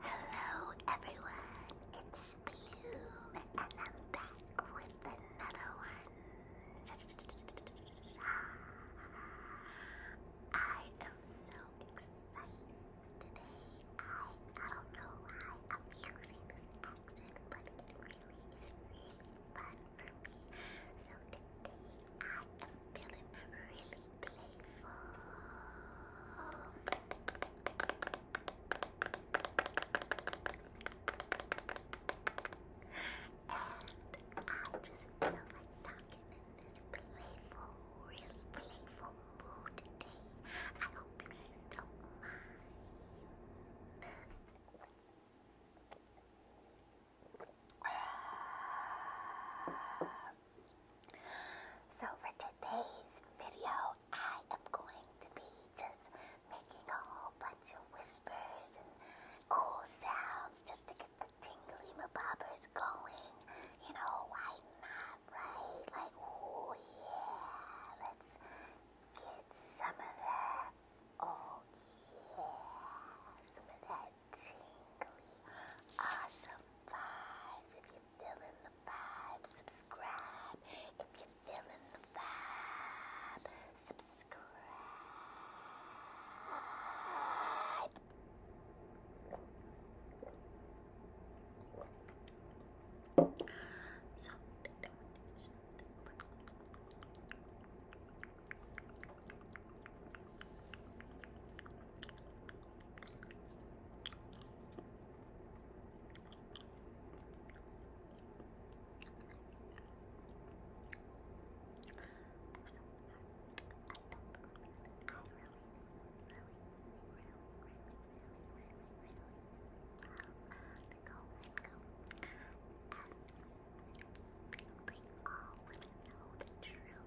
Hello everyone, it's Blue, and I'm back with another one. I am so excited today. I I don't know why I'm using this accent, but it really is really fun for me. So today I feeling really playful. And I just feel like talking this playful, really playful mood today. I hope you guys don't mind. So for today's video, I am going to be just making a whole bunch of whispers and cool sounds just to get the tingly mabobbers going. You know, why not, right? Like, oh yeah, let's get some of that. Oh yeah, some of that tingly, awesome vibes. If you're feeling the vibe, subscribe. If you're feeling the vibe, subscribe. So, all want to know the truth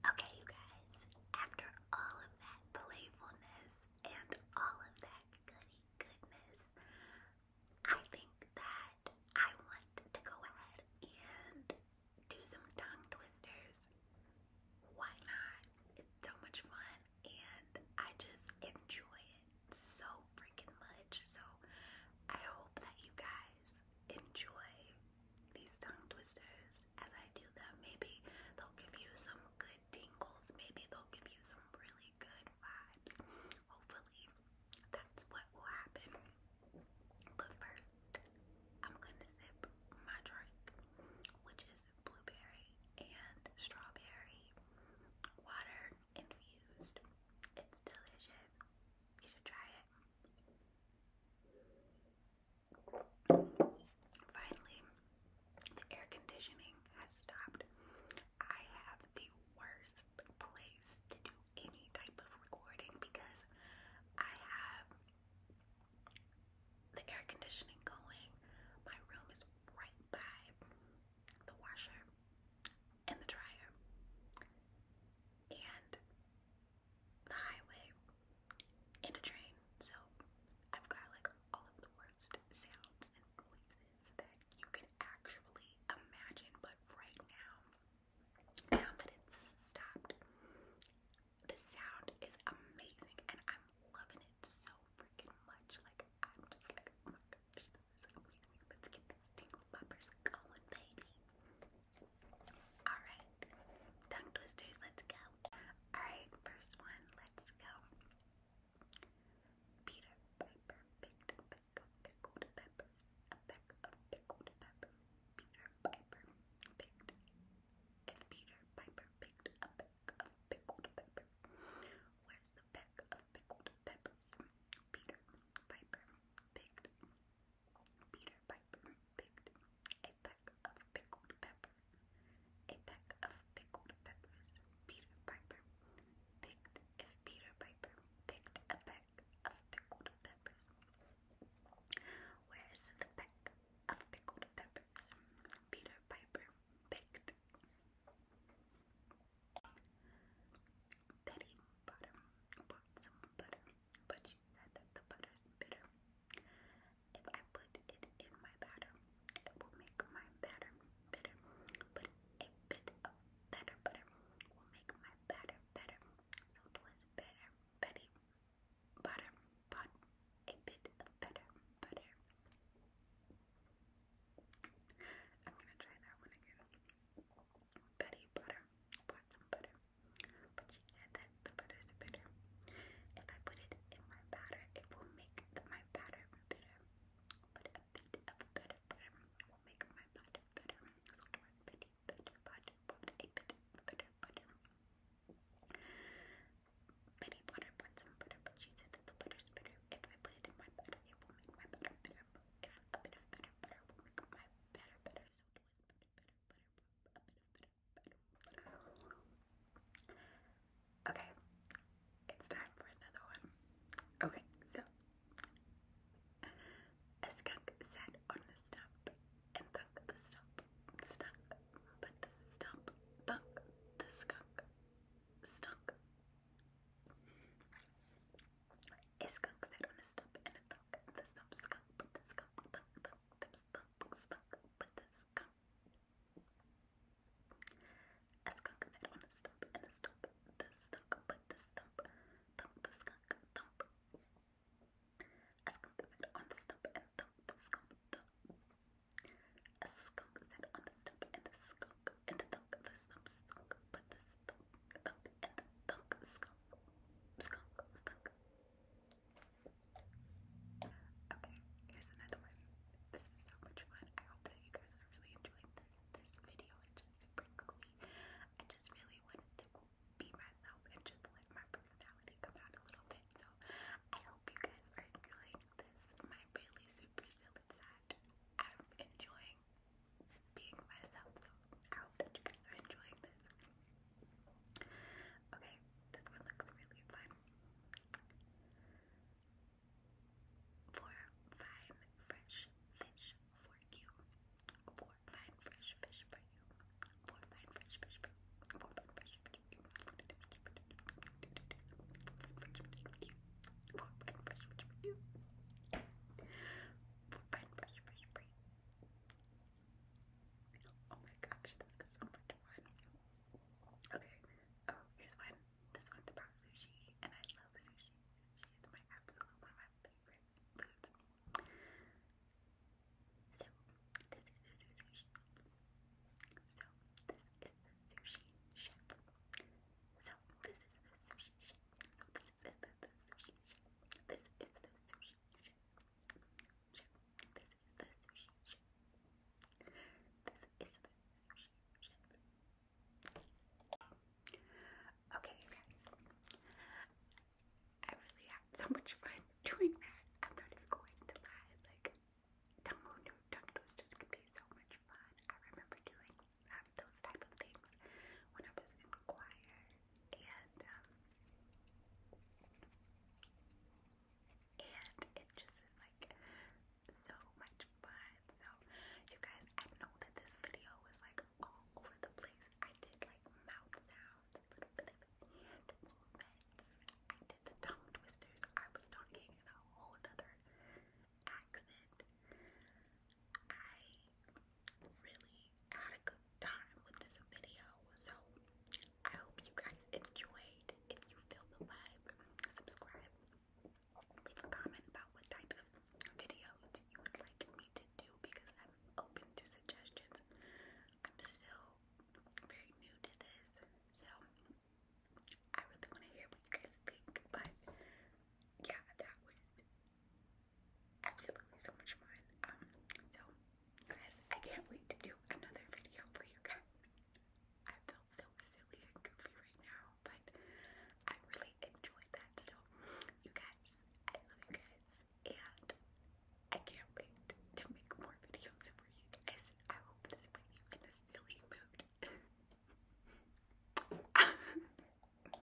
Okay, you guys, after all of that playfulness and all of that goody goodness, I think that I want to go ahead and do some tongue twisters. Why not? It's so much fun and I just enjoy it so freaking much. So I hope that you guys enjoy these tongue twisters as I do them. Maybe they'll give you some good tingles. Maybe they'll give you some really good vibes. Hopefully, that's what will happen. But first, I'm gonna sip my drink, which is blueberry and strawberry water infused. It's delicious. You should try it. Finally, the air conditioning has stopped. I have the worst place to do any type of recording because I have the air conditioning going. My room is right by the washer and the dryer. And the highway, and a train. So I've got like all of the worst sounds and noises that you can actually imagine. But right now, now that it's stopped, the sound is amazing and I'm loving it so freaking much. Like, I'm just like, oh my gosh, this is amazing. Let's get this tingle bumpers going, baby. Alright, tongue twisters, let's go. Alright, first one, let's go. Peter Piper picked a pickled peppers. A peck of pickled peppers. Peter Piper picked. If Peter Piper picked a peck of pickled peppers, where's the peck of pickled peppers? Peter Piper picked Peter Piper picked a peck of pickled pepper. A peck of pickled peppers. Peter Piper picked. If Peter Piper picked a peck of pickled peppers, where's the peck of pickled peppers? Peter Piper picked. Betty bought some butter but she said that the butter is bitter. If I put it in my batter, it will make my batter bitter, but a bit of better butter will make my batter better. So it was better, betty, butter, but a bit of better butter. I'm gonna try that one again. Betty butter, bought some butter, but she said that the butter is bitter. If I put it in my batter, it will make my batter bitter. But a bit of better butter will make my batter bitter. So it was Betty butter, butter, but a bit of better butter. Betty butter bought some butter, but she said that the butter is bitter. If I put it in my batter, it will make my batter bitter. if a bit of better butter will make my batter bitter, so it was. Okay, it's time for another one. Okay, so a skunk sat on the stump and thunk the stump, stunk, but the stump, thunk the skunk, stunk a skunk sat on a stump and a thunk. The stump but the skunk thunk The stump but the skunk. A skunk sat on a stump and a stump. The stunk, but the stump thunk. The skunk thump. A skunk sat on the stump and thunk. The skunk thump. A skunk sat on the stump and the skunk and the thunk. The stump stunk, but the stump thunk and the thunk skunk skunk, skunk. Okay, here's another one. This is so much fun. I hope that you guys are really enjoying this this video. It's just super goofy. I just really wanted to be myself and just let my personality come out a little bit. So I hope you guys are enjoying this. My really super silly side. I'm enjoying being myself, so I hope that you guys are enjoying this. Okay, this one looks really fun. For fine fresh fish for you. For fine fresh fish for you. For fine fresh fish for you. For fine fresh fish for you. For fine fresh fish for you. For fine fresh fish for you. For fine fresh fish for you. Oh my gosh, this is so much fun. Okay, oh, here's one. This one's about sushi, and I love sushi. Sushi is my absolute one of my favorite foods. So, this is the sushi. So, this is the sushi chef. So, this is the sushi chef. So, this is the, the sushi chef. This is the sushi ship. Okay, guys. I really had so much fun doing that. I'm not even going to lie. Like, tongue, tongue twisters could be so much fun. I remember doing um, those type of things when I was in choir and um, and it just is like so much fun. So you guys, know that this video was like all over the place. I did like mouth sounds, little movements. I did the tongue twisters. I was talking in a whole other accent. I really had a good time with this video. So I hope you guys enjoyed. If you feel the vibe, subscribe. Leave a comment about what type of videos you would like me to do because I'm open to suggestions. I'm still very new to this, so I really want to hear what you guys think. But yeah, that was absolutely so much fun. Um, so you guys, I can't wait to do another video for you guys. I feel so silly and goofy right now, but I really enjoyed that. So you guys, I love you guys, and I can't wait to make more videos for you guys. I hope this put you in a silly mood.